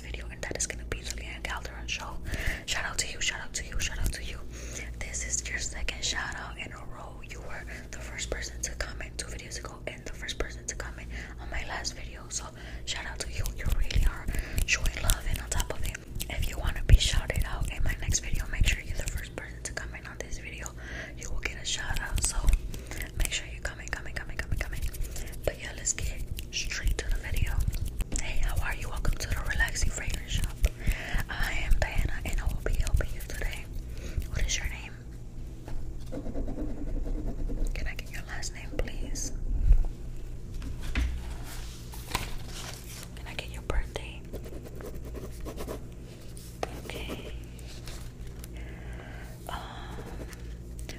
video, and that is gonna be the Leanne Calderon show. Shout out to you, shout out to you, shout out to you. This is your second shout out in a row. You were the first person to comment two videos ago, and the first person to comment on my last video. So shout out to you. You really are showing love, and on top of it, if you wanna be shouted out in my next video, make sure you're the first person to comment on this video. You will get a shout out. So make sure you comment, comment, comment, comment, comment yeah, let's get straight to the video. Hey, how are you? Welcome to the Relaxing Fragrance Shop. I am Diana and I will be helping you today. What is your name? Can I get your last name, please? Can I get your birthday? Okay. Um,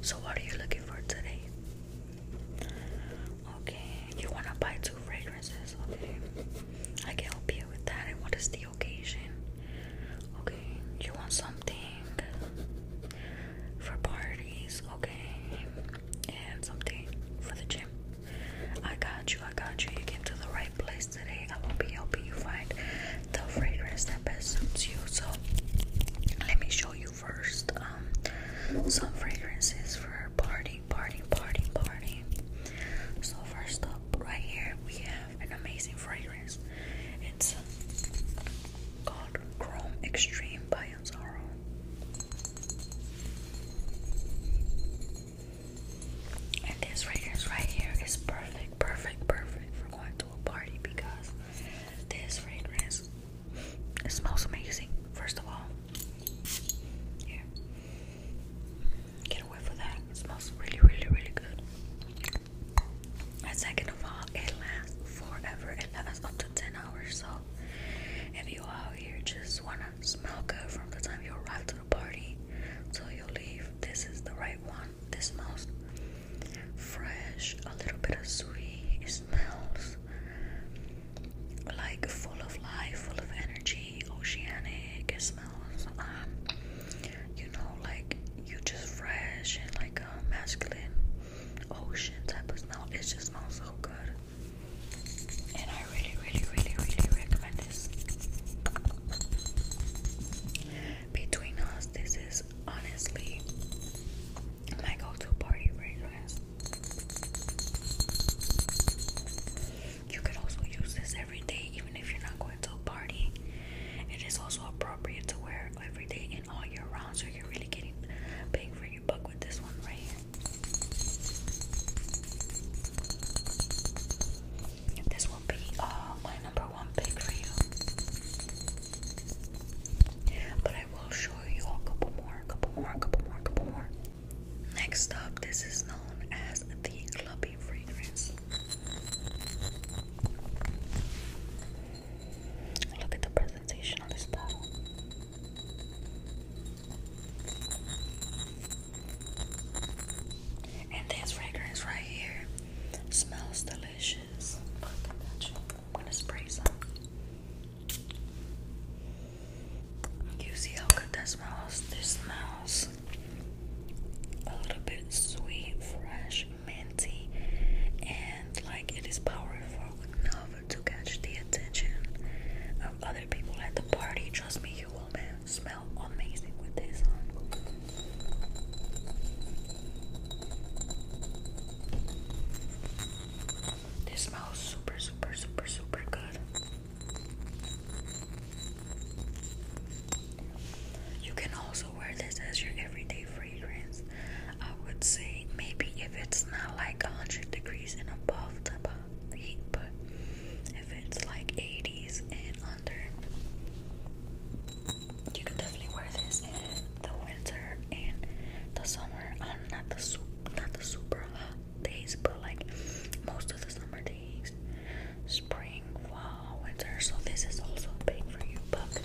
so what are you looking for today? Okay, you wanna buy two fragrances? Okay, I can help you with that. And what is the occasion? Okay, you want something for parties? Okay, and something for the gym. I got you, I got you. You came to the right place today. I will be helping you find the fragrance that best suits you. So, let me show you first um, some fragrances for party, party, party, party. So first up, right here, we have an amazing fragrance. It's um, called Chrome Extreme by Anzaro. And this fragrance right here is perfect, perfect, perfect for going to a party because this fragrance. smells amazing, first of all. Here. Get away for that. smells really, really, really good. And second of all, it lasts forever. It lasts up to 10 hours. So if you out here just wanna smell good from the time you arrive to the party till you leave, this is the right one. This smells fresh, a little bit of sweet. It smells like full of life, full of energy, oceanic. It smells, um, you know, like you just fresh and like a masculine ocean type of smell. It just smells so good. And I really, really, really, really recommend this. Between us, this is honestly my go to party fragrance. You could also use this every day, even if you're not going to a party. It is also appropriate to wear every day and all year round, so you're really getting paid for your buck with this one right here. This will be uh, my number one pick for you. But I will show you a couple more, a couple more, a couple more, a couple more. Next up, this is known as the clubby fragrance. Look at the presentation on this bottle. And this fragrance right here smells delicious. I'm gonna spray some. You see how good that smells? This smells a little bit sweet, fresh, minty, and like it is powerful enough to catch the attention of other people at the party. Trust me, you will smell amazing with this this smells super, super, super, super good. You can also wear this as your everyday fragrance. I would say maybe if it's not like 100 degrees and above the heat, but if it's like 80s and under, you can definitely wear this in the winter and the summer not the super, hot days, but like most of the summer days, spring, fall, winter. So this is also big for you, but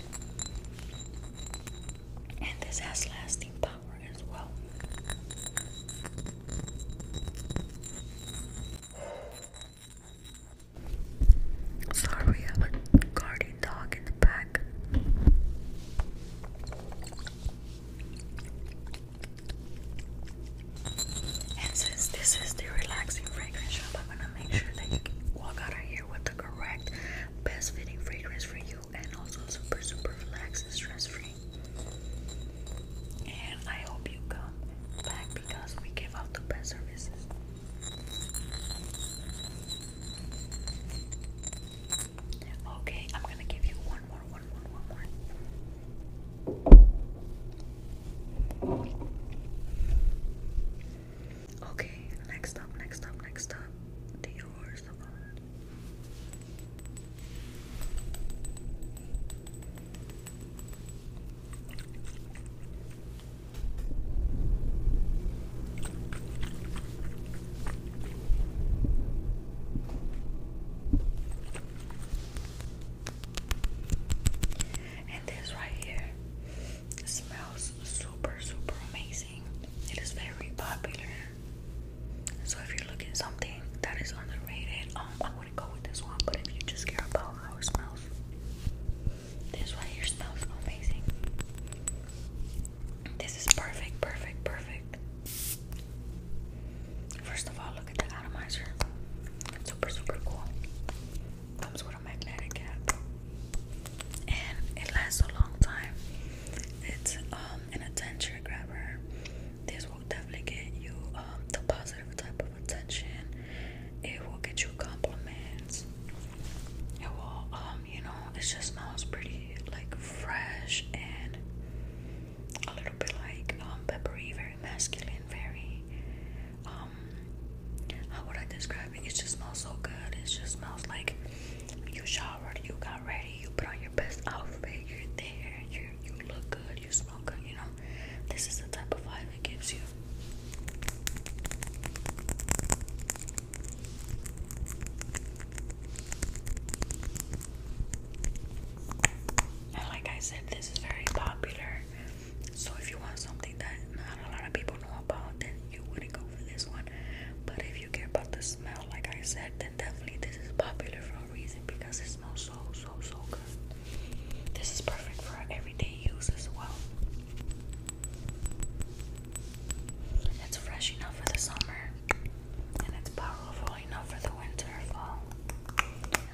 and this has lasting power as well. Sorry, I have a card and since this is the relaxing fragrance shop, I'm gonna make sure that you can walk out of here with the correct, best fitting fragrance for you and also super, super relaxed and stress free. And I hope you come back because we give out the best services. Okay, I'm gonna give you one more, one more, one more. Okay, next up, next up, next up. Dior Savant. And this right here smells super, super amazing. It is very popular. So if you're looking something that is underrated, um, I wouldn't go with this one. But if you just care about how it smells, this right here smells amazing. This is perfect, perfect, perfect. First of all, look at the atomizer. It's super, super cool. Comes with a magnetic cap, and it lasts a long time. It's um, an attention grabber. This will definitely get you um, the positive type of attention. It will get you compliments well, um, you know, it just smells pretty like fresh and a little bit like um peppery, very masculine, very um how would I describe it? It just smells so good. It just smells like you showered, you got ready, you put on your best outfit, you're there, you you look good, you smell good, you know. This is the type of vibe it gives you like I said, this is very popular. So if you want something that not a lot of people know about, then you wouldn't go for this one. But if you care about the smell, like I said, then definitely this is popular for a reason because it smells so, so, so good. This is perfect for everyday use as well. It's fresh enough for the summer, and it's powerful enough for the winter, fall,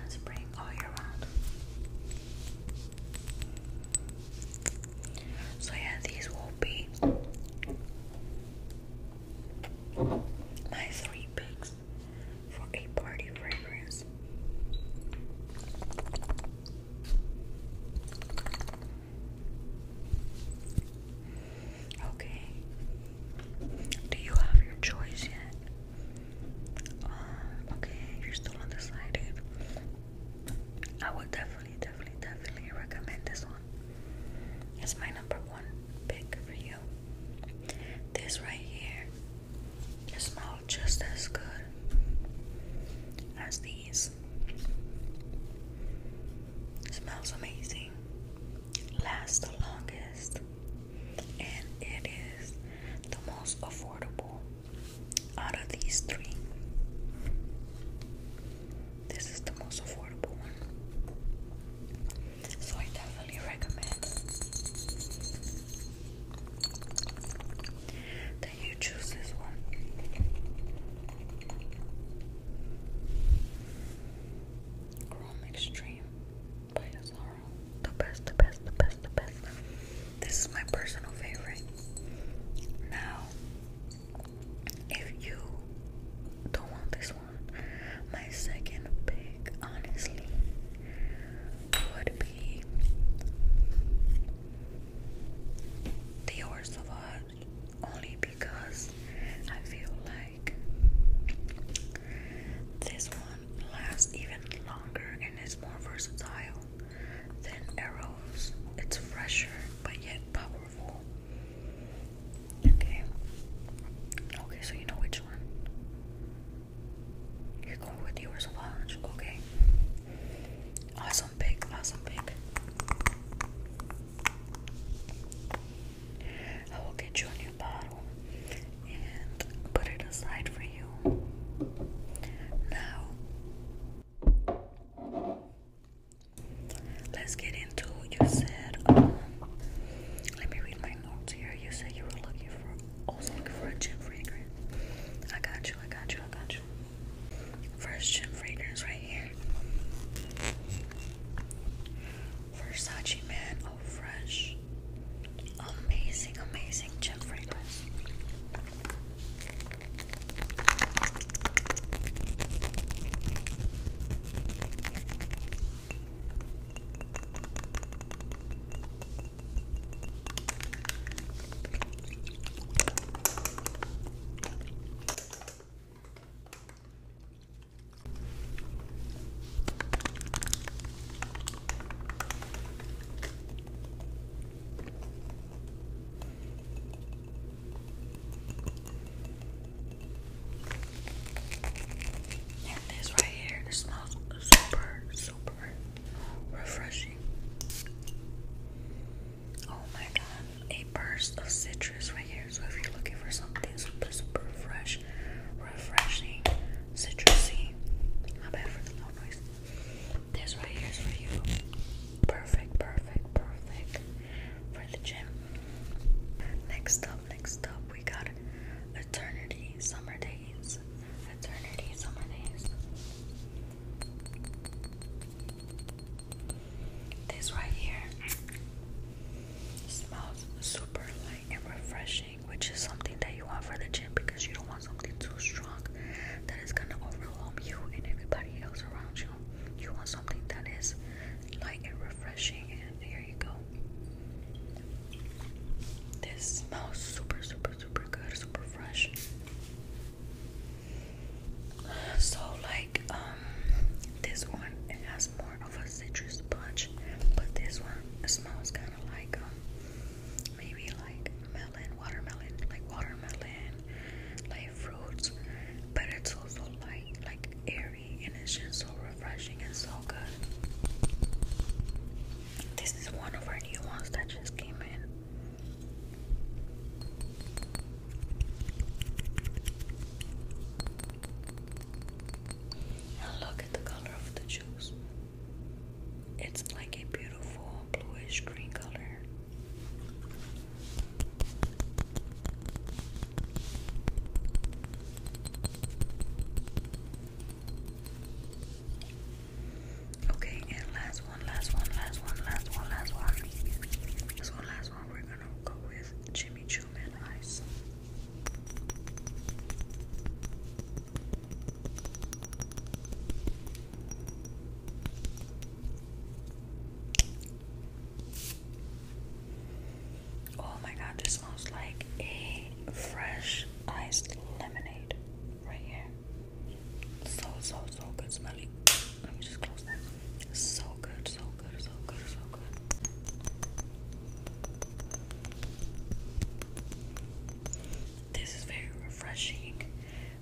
spring all year round. So, yeah, these will be my three picks for a party fragrance. Okay. Do you have your choice yet? Um, okay, you're still undecided. I would definitely, definitely, definitely recommend this one. It's my number one pick for you. This right here, it smells just as good as these this. Smells amazing. Lasts the longest. And it is the most affordable out of these three. This is the most affordable one. So I definitely recommend you choose this one. Chrome Extreme The best, the best, the best, the best. This is my personal favorite. Now, if you don't want this one, my second pick, honestly, would be Dior Sauvage only because I feel like this one lasts even longer and is more versatile than Arrows. It's fresher but yet powerful. Okay. Okay, so you know which one. You're going with yours a lot. Okay. Awesome pick, awesome pick. I will get you a new bottle and put it aside for you. Now, let's get into you said. Um, let me read my notes here. You said you were looking for also oh, looking for a gym fragrance. I got you. I got you. I got you fresh. gym fragrance right here. Versace Man, oh fresh. Amazing, amazing gym fragrance. And this right here, it smells super, super refreshing. Oh my god, a burst of citrus right here. So if you're looking for something super, super fresh, refreshing, citrusy, not bad for the loud noise. This right here is for you. Perfect, perfect, perfect for the gym. Next up, next up, we got Eternity Summer Days. Eternity Summer Days. This right here smells super light and refreshing, which is something that you want for the gym because you don't want something too strong that is gonna overwhelm you and everybody else around you. You want something that is like and refreshing, and here you go. This smells super, super, super good, super fresh. So like um, this one has more of a citrus punch, but this one smells kind of like um, maybe like melon, watermelon, like watermelon, like fruits. But it's also light, like airy, and it's just so refreshing and so good. This is one of our new ones that just came in look at the color of the juice. It's like a beautiful bluish green color. Okay, and last one, last one, last one, last one, last one. This one, last one, we're gonna go with Jimmy Choo Man Ice. Oh my god, this smells like a fresh iced lemonade right here. So, so, so good smelling. Let me just close that. So good, so good, so good, so good. This is very refreshing,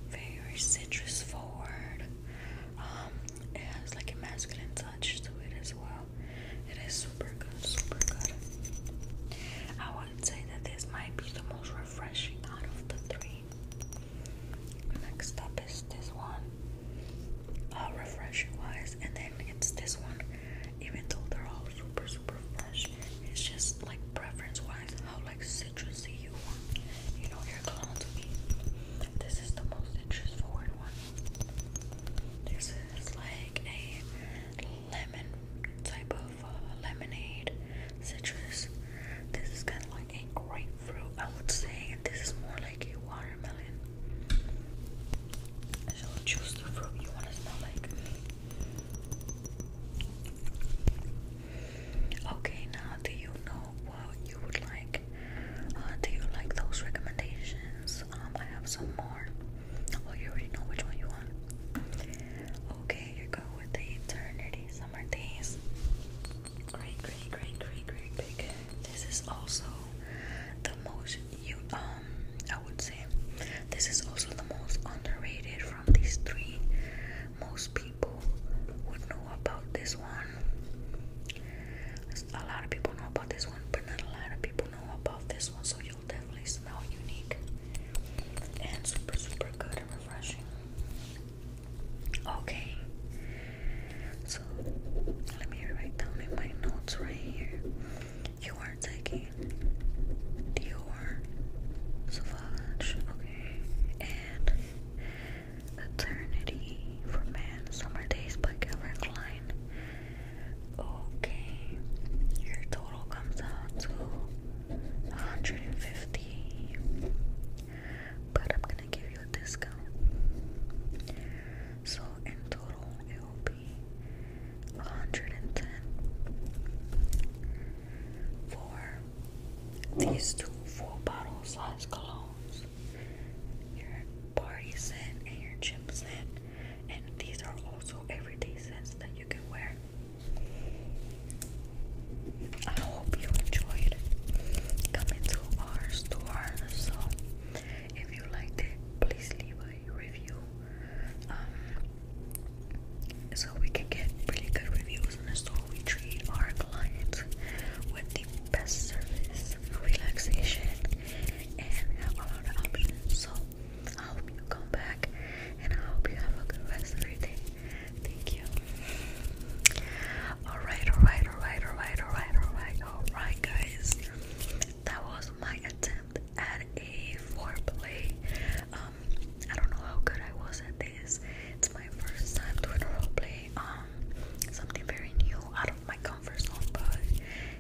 very citrus forward. Um, it has like a masculine touch to it as well. It is super good, super good. I would say that this might be the most refreshing out of the three. Next up is this one, uh, refreshing wise, and then it's this one. Even though they're all super super fresh, it's just like preference wise how like citrusy you want. You know you your cologne to me. This is the most citrus forward one. This is like a lemon type of uh, lemonade citrus. This is kind of like a grapefruit, I would say, this is more like a watermelon. So choose the fruit you want to smell like. Okay, now do you know what you would like? Uh, do you like those recommendations? Um, I have some more. Well, oh, you already know which one you want. Okay, you go with the eternity summer days. Great, great, great, great, great, great. This is also the most um I would say this is also the most underrated from these three. Most people would know about this one. A lot of people know about this one, but not a lot of people know about this one. So you'll definitely smell unique and super super good and refreshing. Okay. So let me write down in my notes right here. You are taking Dior Sauvage, okay, and Eternity for Men, Summer Days by Calvin Klein. Okay, your total comes out to 150 but I'm gonna give you a discount. So in total, it will be 110 for these two full bottle size colognes. Your party scent and your gym scent, and these are also everyday scents that you can wear. I hope you enjoyed coming to our store. So, if you liked it, please leave a review. Um, so we can get really good reviews, and so we treat our clients with the best service, relaxation, and have a lot of options. So I hope you come back, and I hope you have a good rest of your day. Thank you. Alright, alright, alright, alright, alright, alright, alright, guys. That was my attempt at a foreplay. Um, I don't know how good I was at this. It's my first time doing a roleplay. Um, something very new out of my comfort zone, but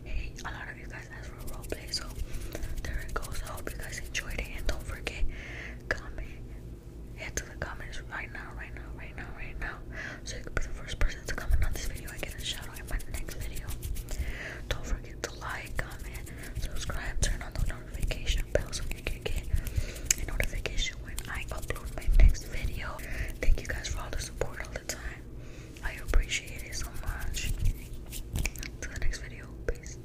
hey, a lot of you guys asked for a roleplay, so there it goes. I hope you guys enjoyed it and don't forget, comment, head the comments right now, right now, right now, right now. So you can be the first person to comment on this video I get a shout in my next video. Don't forget to like, comment, subscribe, turn on the notification bell so you can get a notification when I upload my next video. Thank you guys for all the support all the time. I appreciate it so much. To the next video. Peace.